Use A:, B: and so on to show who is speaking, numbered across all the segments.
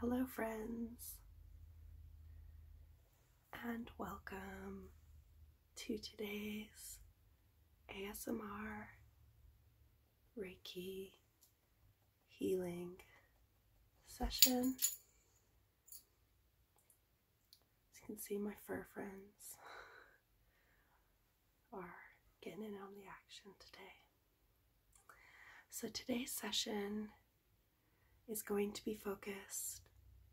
A: Hello, friends, and welcome to today's ASMR Reiki healing session. As you can see, my fur friends are getting in on the action today. So, today's session is going to be focused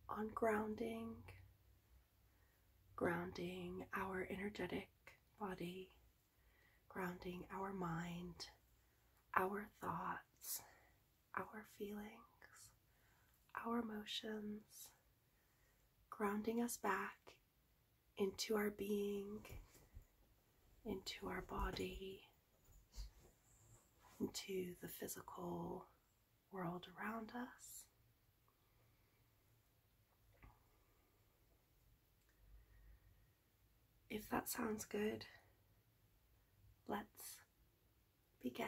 A: on grounding, grounding our energetic body, grounding our mind, our thoughts, our feelings, our emotions, grounding us back into our being, into our body, into the physical world around us. If that sounds good, let's begin.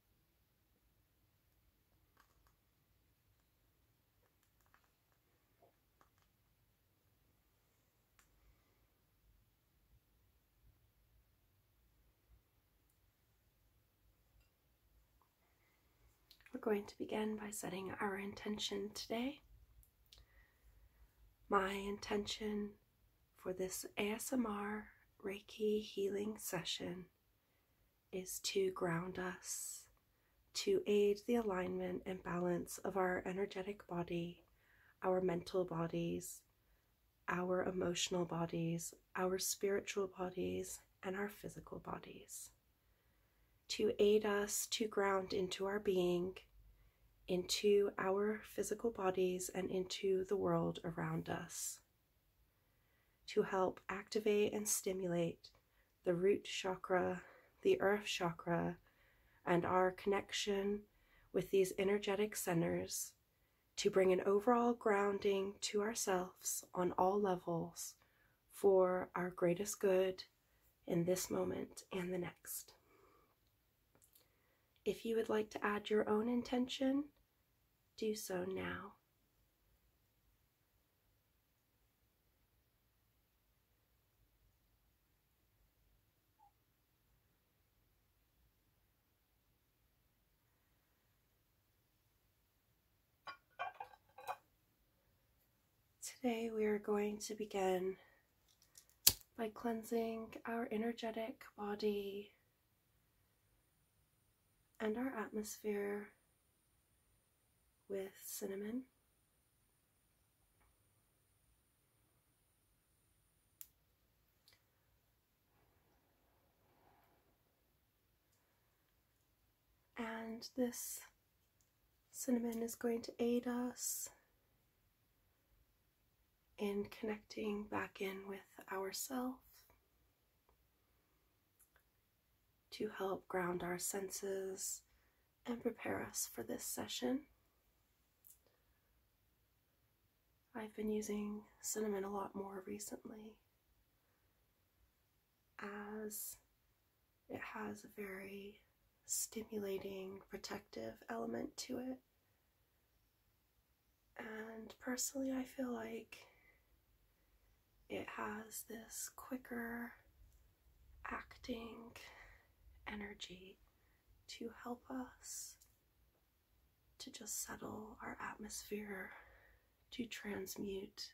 A: We're going to begin by setting our intention today. My intention for this ASMR Reiki healing session is to ground us, to aid the alignment and balance of our energetic body, our mental bodies, our emotional bodies, our spiritual bodies, and our physical bodies. To aid us to ground into our being, into our physical bodies, and into the world around us to help activate and stimulate the root chakra, the earth chakra, and our connection with these energetic centers to bring an overall grounding to ourselves on all levels for our greatest good in this moment and the next. If you would like to add your own intention do so now. Today we are going to begin by cleansing our energetic body and our atmosphere with cinnamon. And this cinnamon is going to aid us in connecting back in with ourself to help ground our senses and prepare us for this session. I've been using cinnamon a lot more recently as it has a very stimulating protective element to it and personally, I feel like it has this quicker acting energy to help us to just settle our atmosphere, to transmute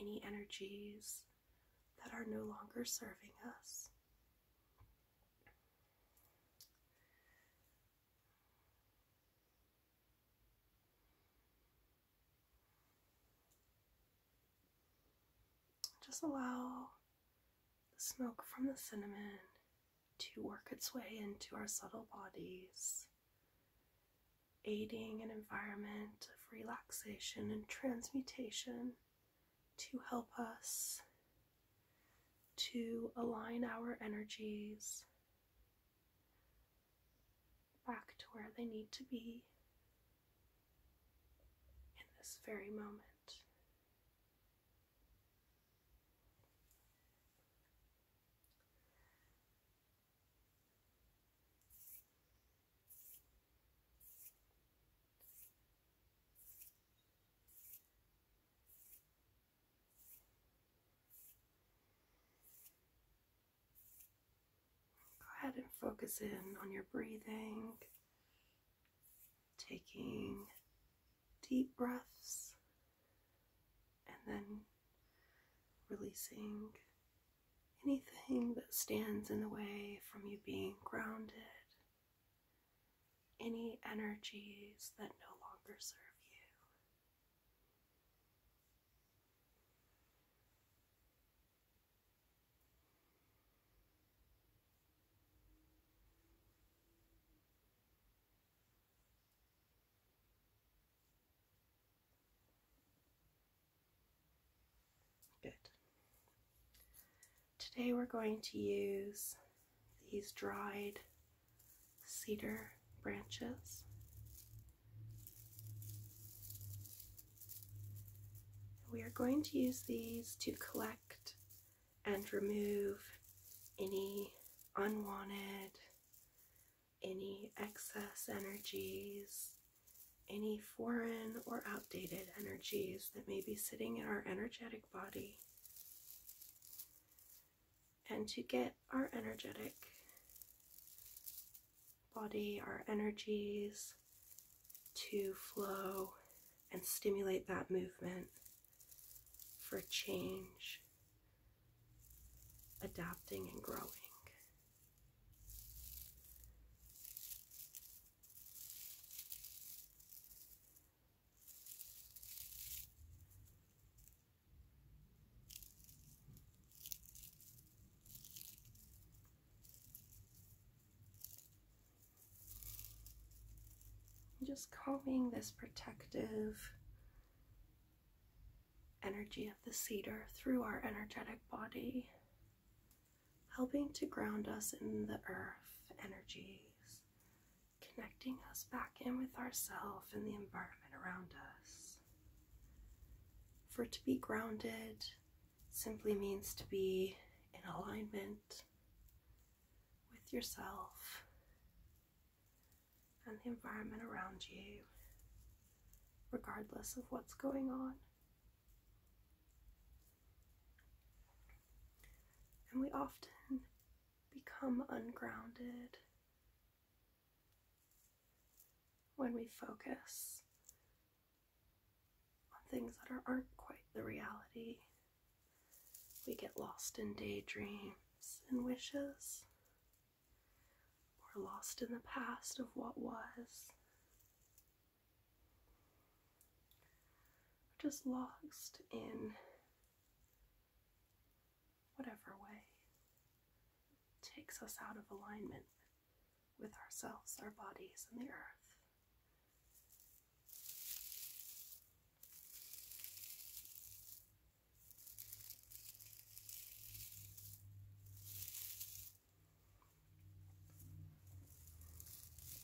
A: any energies that are no longer serving us. Just allow the smoke from the cinnamon to work its way into our subtle bodies, aiding an environment of relaxation and transmutation to help us to align our energies back to where they need to be in this very moment. Go ahead and focus in on your breathing, taking deep breaths and then releasing anything that stands in the way from you being grounded any energies that no longer serve you. Good. Today we're going to use these dried cedar branches. We are going to use these to collect and remove any unwanted, any excess energies, any foreign or outdated energies that may be sitting in our energetic body and to get our energetic body, our energies to flow and stimulate that movement for change, adapting, and growing just calming this protective energy of the cedar through our energetic body, helping to ground us in the earth energies connecting us back in with ourself and the environment around us. For to be grounded simply means to be in alignment with yourself and the environment around you, regardless of what's going on. And we often become ungrounded when we focus on things that are, not quite the reality. We get lost in daydreams and wishes. We're lost in the past of what was. We're just lost in whatever way takes us out of alignment with ourselves, our bodies, and the earth.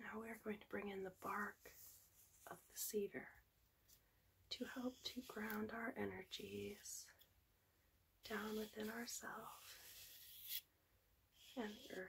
A: Now we're going to bring in the bark of the cedar to help to ground our energies down within ourselves and the earth.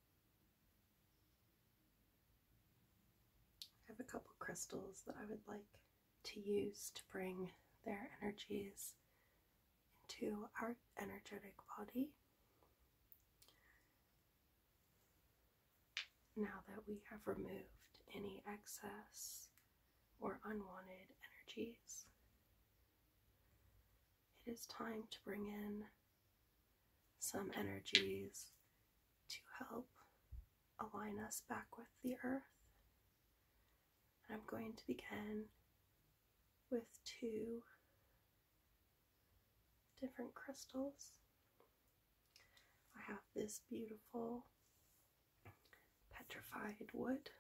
A: I have a couple crystals that I would like to use to bring their energies into our energetic body. Now that we have removed any excess or unwanted energies, it is time to bring in some energies to help align us back with the earth. I'm going to begin with two different crystals. I have this beautiful petrified wood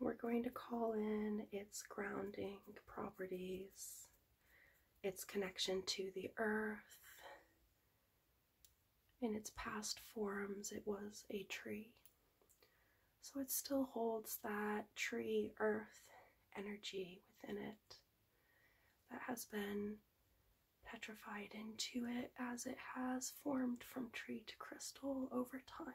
A: we're going to call in its grounding properties, its connection to the earth. In its past forms, it was a tree. So it still holds that tree earth energy within it that has been petrified into it as it has formed from tree to crystal over time.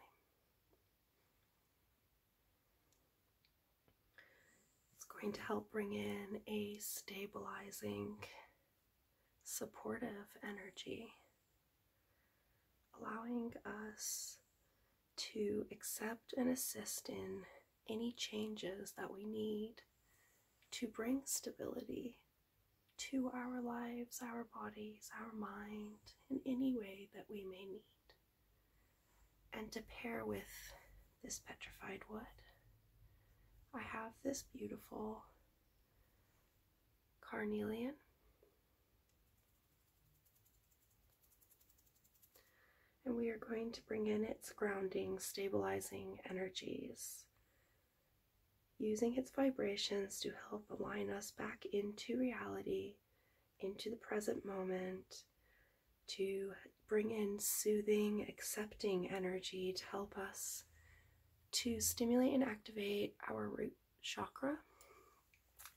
A: It's going to help bring in a stabilizing, supportive energy, allowing us to accept and assist in any changes that we need to bring stability to our lives, our bodies, our mind in any way that we may need. And to pair with this petrified wood, I have this beautiful carnelian. And we are going to bring in its grounding, stabilizing energies using its vibrations to help align us back into reality, into the present moment, to bring in soothing, accepting energy to help us to stimulate and activate our root chakra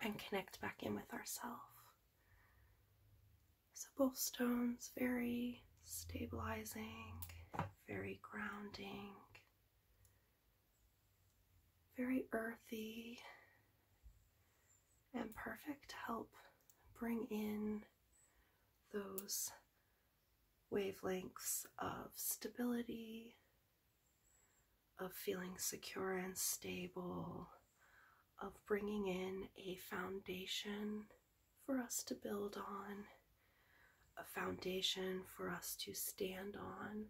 A: and connect back in with ourself. So both stones very stabilizing, very grounding very earthy and perfect help bring in those wavelengths of stability, of feeling secure and stable, of bringing in a foundation for us to build on a foundation for us to stand on,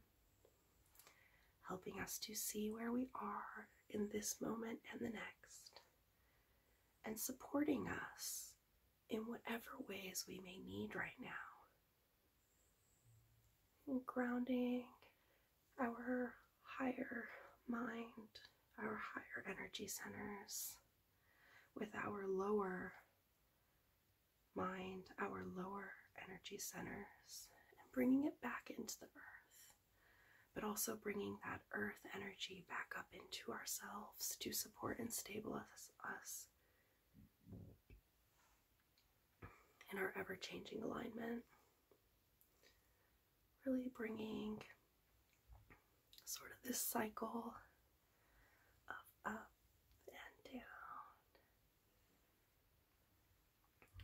A: helping us to see where we are in this moment and the next, and supporting us in whatever ways we may need right now. grounding our higher mind, our higher energy centers with our lower mind, our lower energy centers, and bringing it back into the earth, but also bringing that earth energy back up into ourselves to support and stabilize us in our ever changing alignment. Really bringing sort of this cycle of up and down,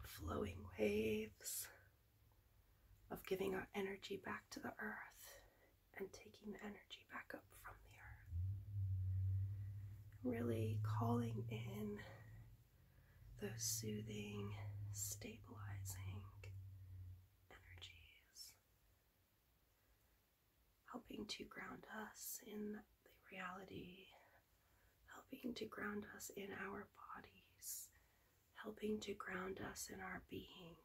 A: flowing waves of giving our energy back to the earth and taking the energy back up from the earth. Really calling in those soothing, stabilizing energies helping to ground us in the reality, helping to ground us in our bodies, helping to ground us in our being,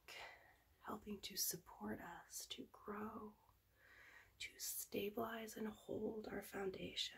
A: helping to support us to grow, to stabilize and hold our foundations.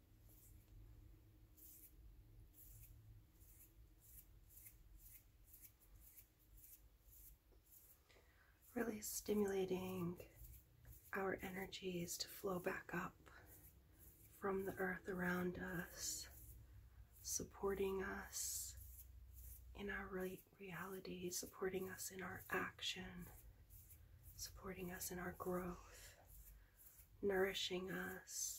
A: Really stimulating our energies to flow back up from the earth around us, supporting us in our reality, supporting us in our action, supporting us in our growth nourishing us.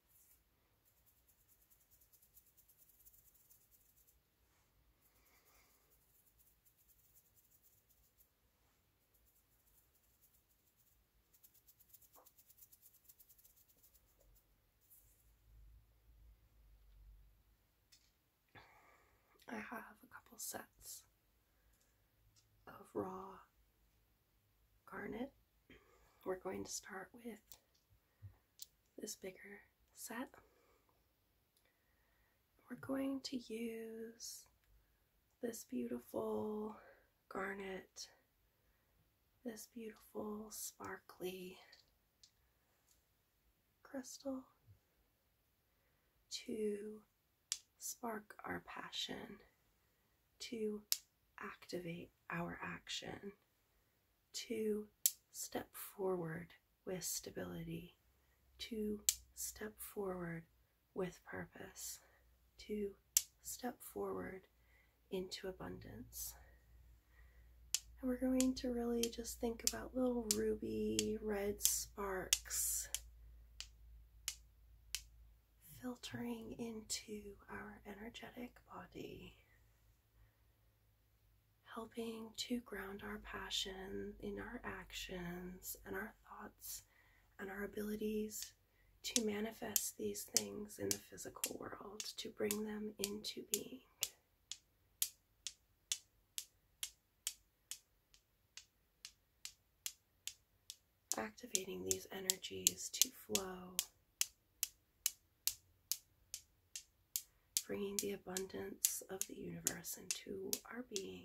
A: I have a couple sets of raw garnet. We're going to start with this bigger set. We're going to use this beautiful garnet, this beautiful sparkly crystal to spark our passion, to activate our action to step forward with stability, to step forward with purpose, to step forward into abundance. And we're going to really just think about little ruby red sparks filtering into our energetic body, helping to ground our passion in our actions and our thoughts and our abilities to manifest these things in the physical world, to bring them into being activating these energies to flow, bringing the abundance of the universe into our being.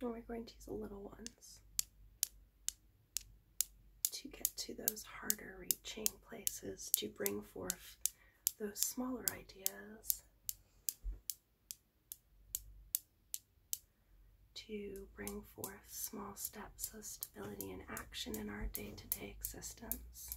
A: And we're going to use the little ones to get to those harder reaching places to bring forth those smaller ideas. To bring forth small steps of stability and action in our day to day existence.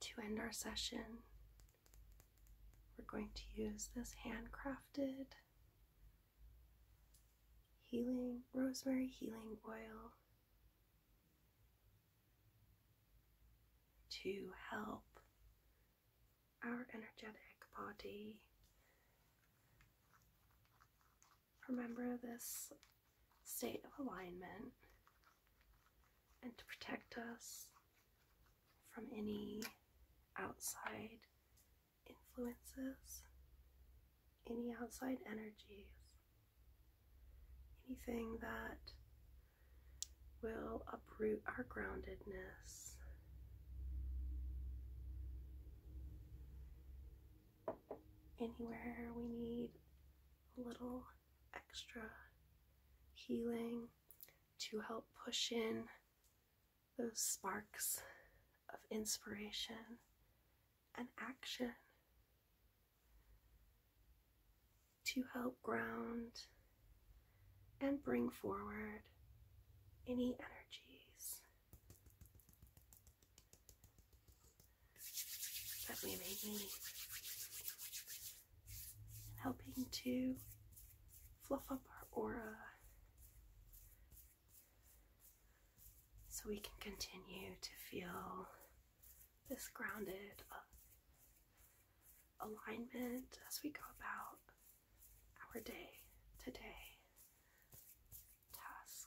A: To end our session, we're going to use this handcrafted healing rosemary healing oil to help our energetic body. Remember this state of alignment and to protect us from any outside influences, any outside energies, anything that will uproot our groundedness anywhere we need a little extra healing to help push in those sparks of inspiration and action to help ground and bring forward any energies that may be Helping to fluff up our aura so we can continue to feel this grounded uh, alignment as we go about our day today. Tasks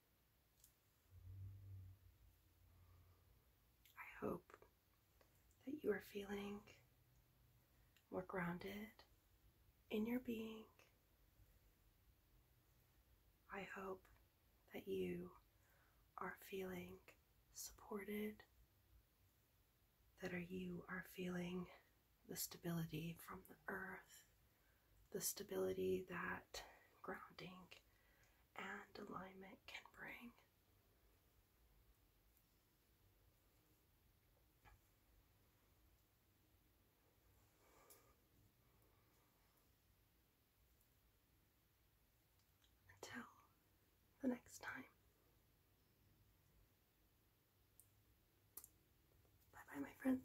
A: I hope that you are feeling more grounded in your being. I hope that you are feeling supported, that are you are feeling the stability from the earth, the stability that grounding and alignment can bring. Until the next time. Bye bye, my friends.